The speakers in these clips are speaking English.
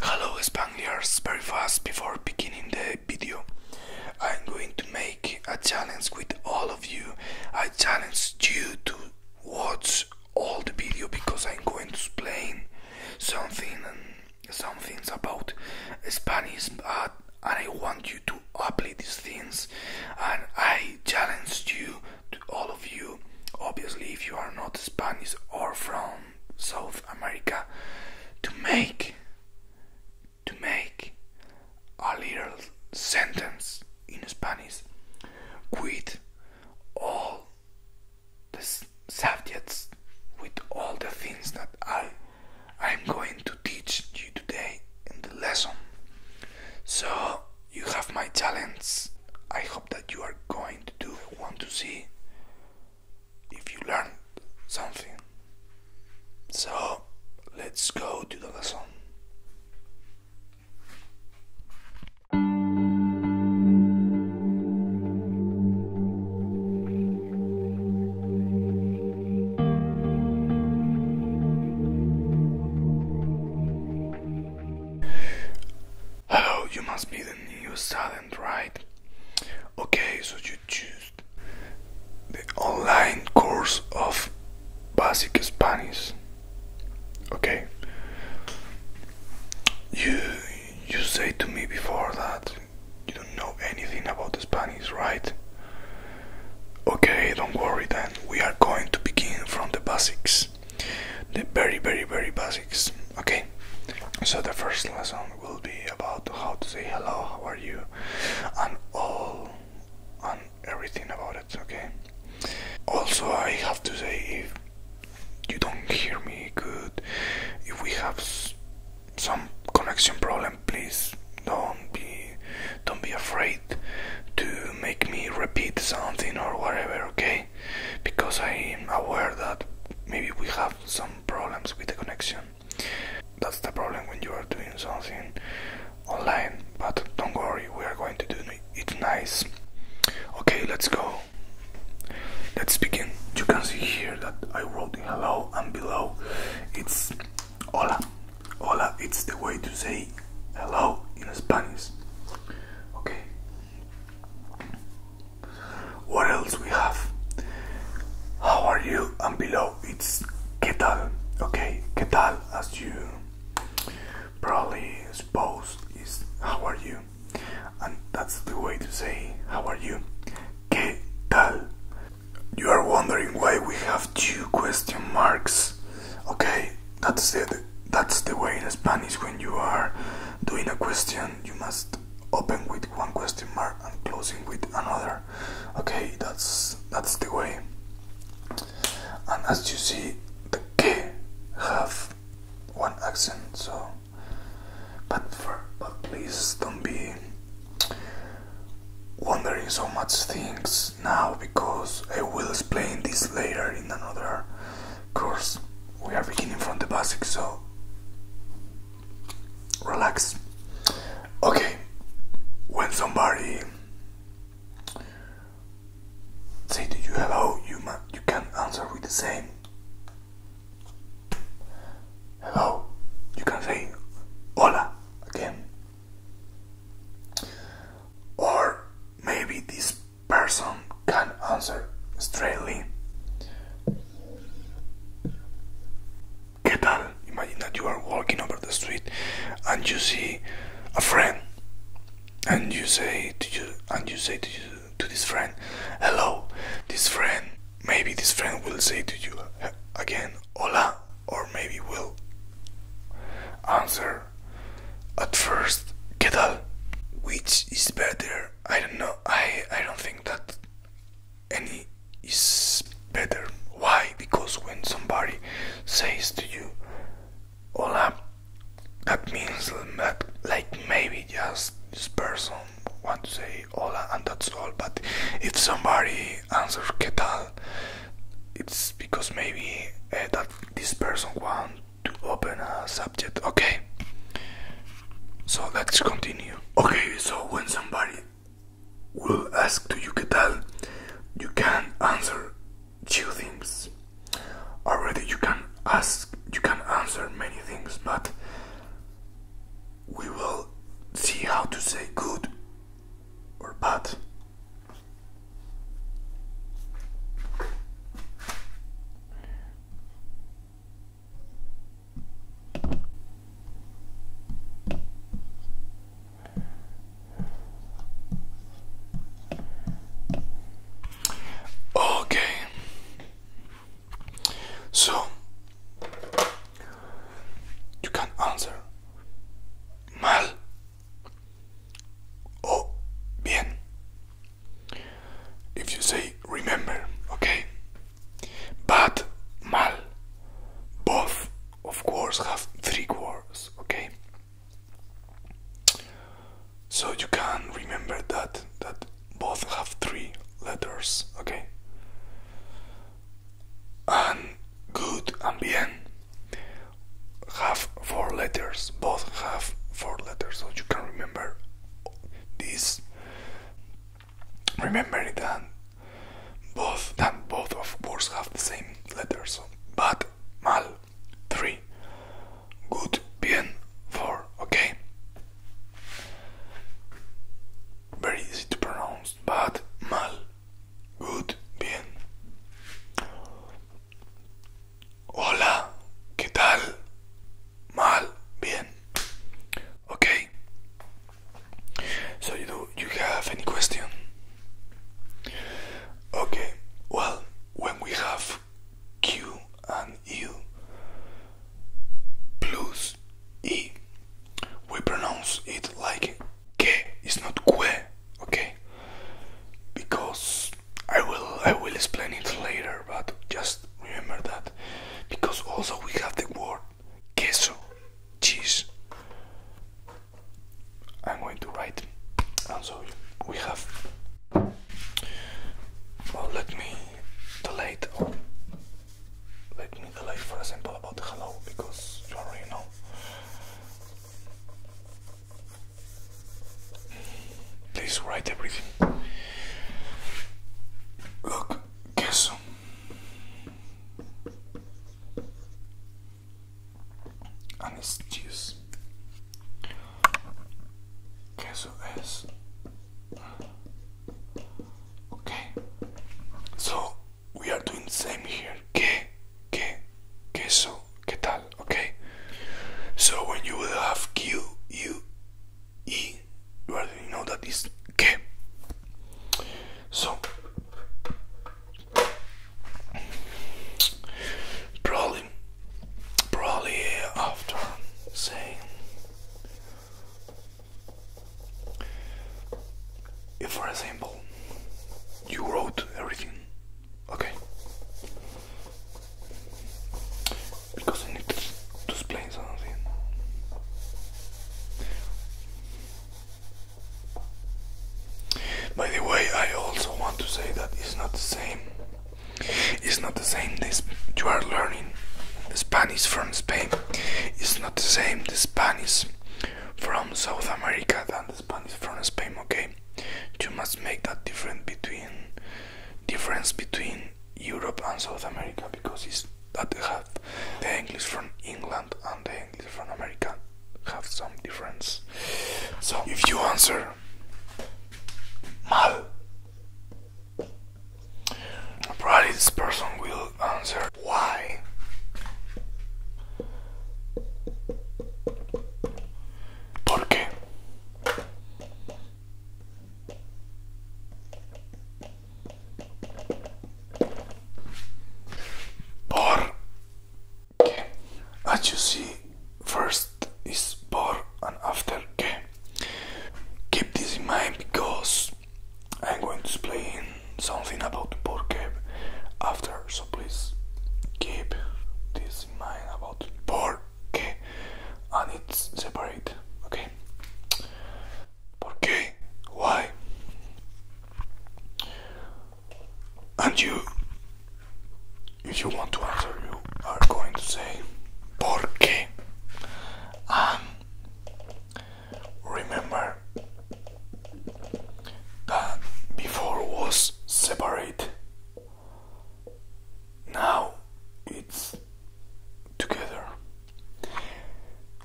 Hello Spaniards, very fast before beginning the video. I'm going to make a challenge with all of you. I challenge you to watch all the video because I'm going to explain something and um, some things about Spanish and I want you to apply these things and I challenge you to all of you. Obviously if you are not Spanish or from South America to make to make a little sentence in Spanish with all the subjects with all the things that I I'm going to teach you today in the lesson. So you have my talents. I hope that you are going to do. want to see if you learn something. So let's go to the lesson. Hello, oh, you must be the new student right okay so you choose the online course of basic spanish okay you you say to me before that you don't know anything about the spanish right okay don't worry then we are going to begin from the basics the very very very basic Okay, so the first lesson will be about how to say hello, how are you, and all and everything about it. Okay, also, I have to say if you don't hear me good, if we have some connection problem, please don't be don't be afraid to make me repeat something or whatever okay because i'm aware that maybe we have some problems with the connection. That's the problem when you are doing something online, but don't worry, we are going to do it nice. Okay, let's go. Let's begin. You can see here that I wrote hello and below it's hola. Hola, it's the way to say hello in Spanish. Okay, what else we have? How are you? And below it's ¿Qué tal? Okay, ¿Qué tal? As you probably suppose is how are you? And that's the way to say how are you? ¿Qué tal? You are wondering why we have two question marks. Okay, that's it. That's the way in Spanish when you are doing a question, you must open with one question mark and closing with another okay that's that's the way and as you see the k have one accent so but for, but please don't be wondering so much things now because I will explain this later in another course we are beginning from the basics so relax. Okay, when somebody say to you hello, you you can answer with the same hello. You can say hola again. Or maybe this person can answer straightly ¿Qué tal? Imagine that you are walking over the street and you see a friend and you say to you and you say to you to this friend hello this friend maybe this friend will say to you again hola or maybe will answer at first ¿qué tal? which is better I don't know I I don't think that and is better. Why? Because when somebody says to you, Hola, that means that, like maybe just this person wants to say hola and that's all. But if somebody answers que it's because maybe eh, that this person wants to open a subject. Okay, so let's continue. Okay, so when somebody will ask to you que tal, you can answer two things. Already you can ask, you can answer many things, but we will see how to say good or bad. Okay. So you can answer mal o bien if you say remember, okay? But mal, both of course have three words, okay? So you can remember that that both have three letters, okay? And good and bien have four letters, both have four letters, so you can remember this. Remember that both that both of words have the same letters. Bad, mal, three. Good, bien, four. Okay. Very easy to pronounce. Bad, mal, good, bien. Hola, ¿qué tal? Mal, bien. Okay. So you do you have any question? Okay. Well, when we have Q and U plus E, we pronounce it like que. It's not que. Okay. Because I will I will explain it later, but just remember that because also we have the word queso, cheese. I'm going to write, and so we have. Well, let me delete or let me delay for example about hello because you already know. Please write everything. Look, queso and it's okay. So we are doing same here. Que, que, queso, que tal? Okay. So when you will have Q, U, you already know that is K. So probably probably after saying if for example you wrote everything okay because I need to explain. By the way, I also want to say that it's not the same. It's not the same. This you are learning Spanish from Spain. It's not the same. The Spanish from South America than the Spanish from Spain. Okay, you must make that difference between difference between Europe and South America because it's that have the English from England and the English from America have some difference. So if you answer mal, probably this person will answer why. ¿Por Por. Que. As you see, first is por and after que. Keep this in mind because I'm going to explain something about por que after, so please keep this in mind about por que and it's separate, okay? ¿Por qué? Why? And you, if you want to answer, you are going to say, ¿Por qué? And remember that before was separate. Now it's together.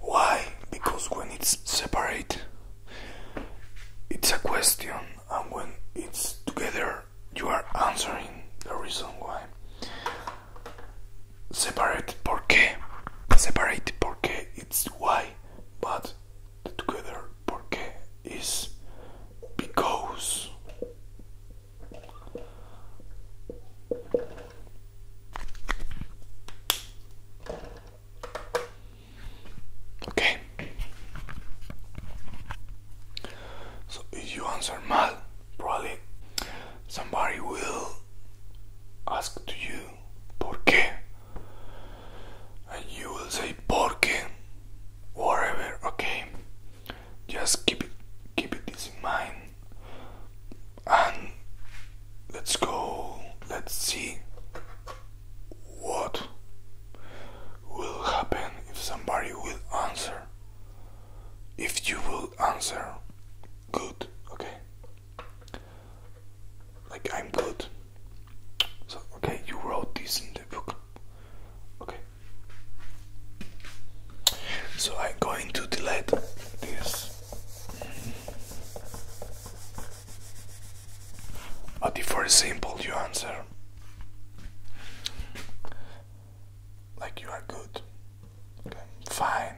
Why? Because when it's separate, it's a question, and when it's together, you are answering the reason why. Separate, por qué? Separate, por qué? It's why, but together, por qué is because. Okay. So if you answer mal, probably somebody will ask to you por and you will say por whatever okay just keep it keep it in mind and let's go, let's see what will happen if somebody will answer. If you will answer, good, okay? Like I'm good. So, okay, you wrote this in the book. Okay. So I'm going to delete this. But if a simple, you answer like you are good, fine.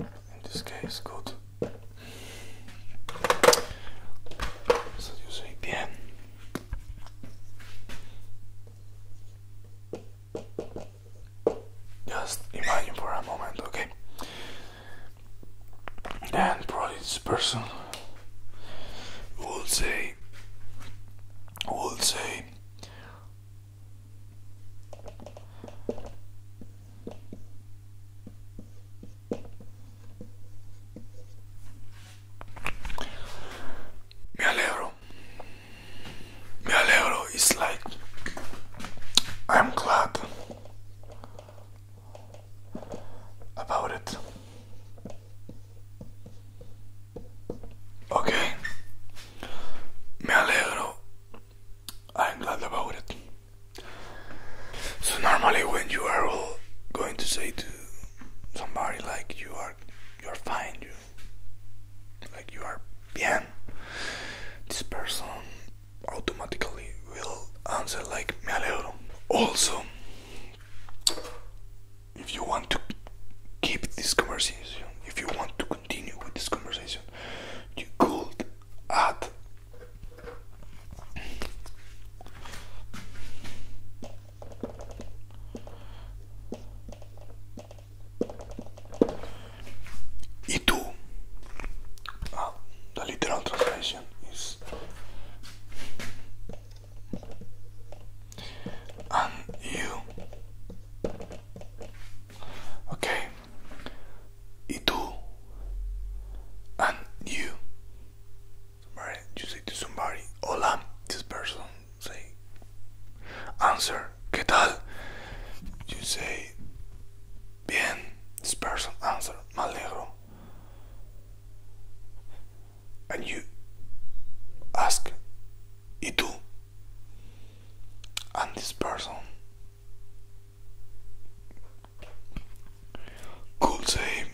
In this case, good. Ça yo soy bien. Just imagine for a moment, okay? And probably this person will say, will say, me alegro. Me alegro is like I'm glad about it. Okay. I'm glad about it. So normally when you are going to say to somebody like you are you are fine, you like you are bien this person automatically will answer like me Also if you want to keep this conversation, if you want to continue with this conversation, you could add E the ah, literal translation is and you. Okay. E and you. Somebody, you say to somebody, hola, this person say, answer, ¿qué tal? You say, bien, this person answer, me And you ask, ¿y tú? And this person Cool team.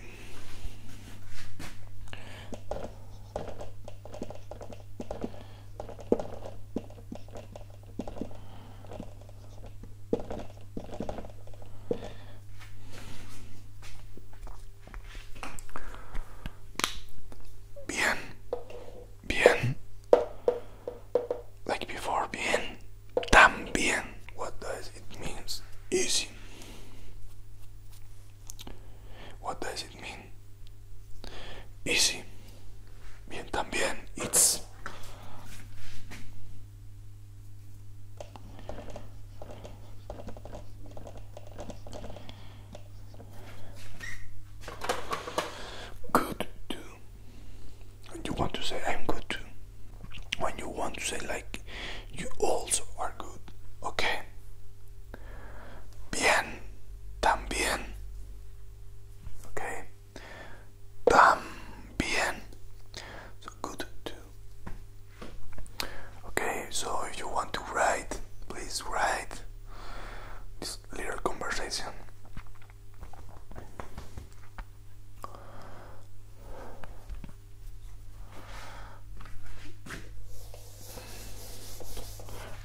Bien, bien, like before, bien, También. What does it mean? Easy. What does it mean? Easy. Bien, también. It's. Good too. you want to say I'm good too when you want to say like you also are good okay bien también okay también so good too okay so if you want to write please write this little conversation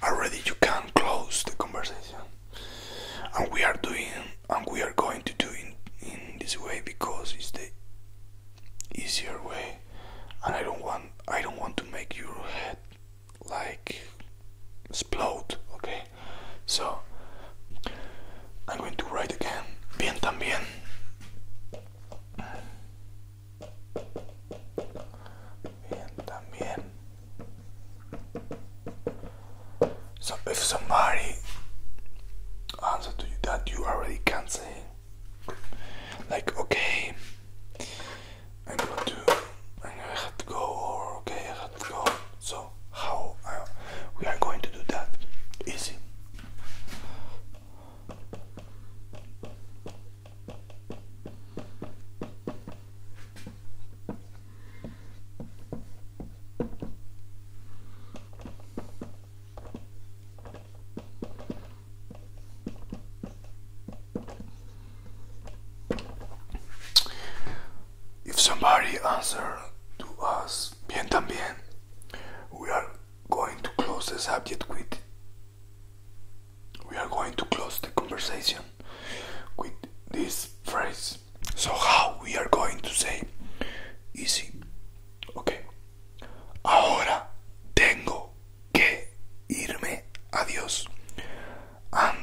Already you can close the conversation. And we are doing and we are going to do in, in this way because it's the easier way and I don't want I don't want to make your head like explode, okay? So I'm going to write again. Bien también. So if somebody answer to you that you already can say like okay I'm going to I have to go or okay I have to go so how uh, we are going to do that easy if somebody answer to us, bien también we are going to close the subject with we are going to close the conversation with this phrase so how we are going to say easy okay ahora tengo que irme adios and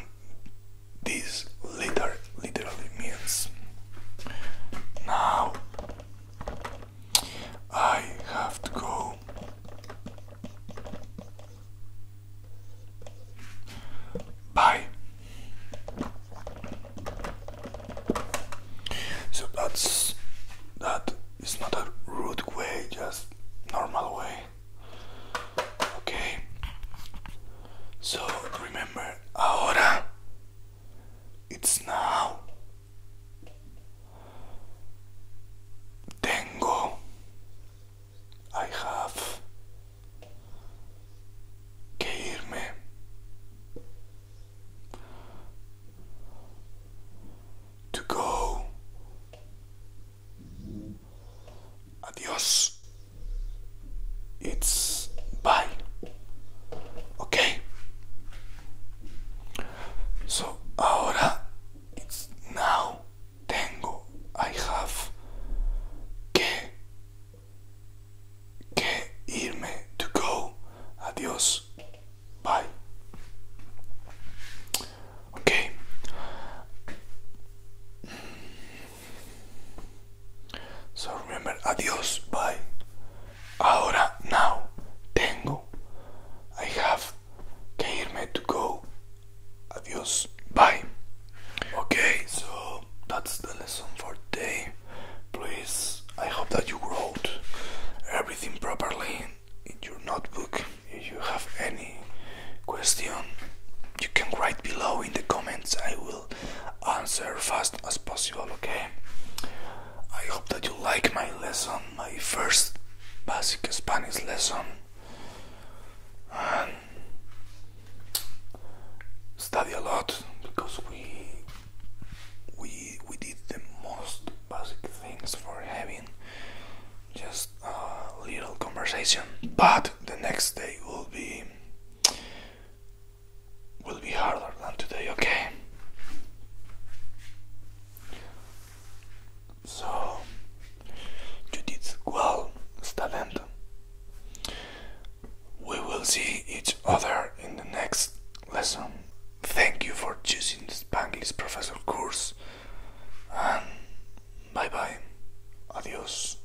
this letter literally means now I have to go. Bye. So that's that is not a rude way, just normal way. Okay. So remember, ahora. It's now. Tengo. I have. To go. Adios. It's bye. Okay. So ahora it's now tengo I have to go adios bye okay so remember adios bye Ahora, now, tengo. I have to go. Adios. Bye. Okay, so that's the lesson for today. Please, I hope that you wrote everything properly in your notebook. If you have any question, you can write below in the comments. I will answer fast as possible, okay? I hope that you like my lesson, my first basic Spanish lesson. And study a lot because we we we did the most basic things for having just a little conversation. But the next day will be will be harder than today, okay? So, you well, Stalendo. We will see each other in the next lesson. Thank you for choosing the Spanglish Professor course. And bye bye. Adios.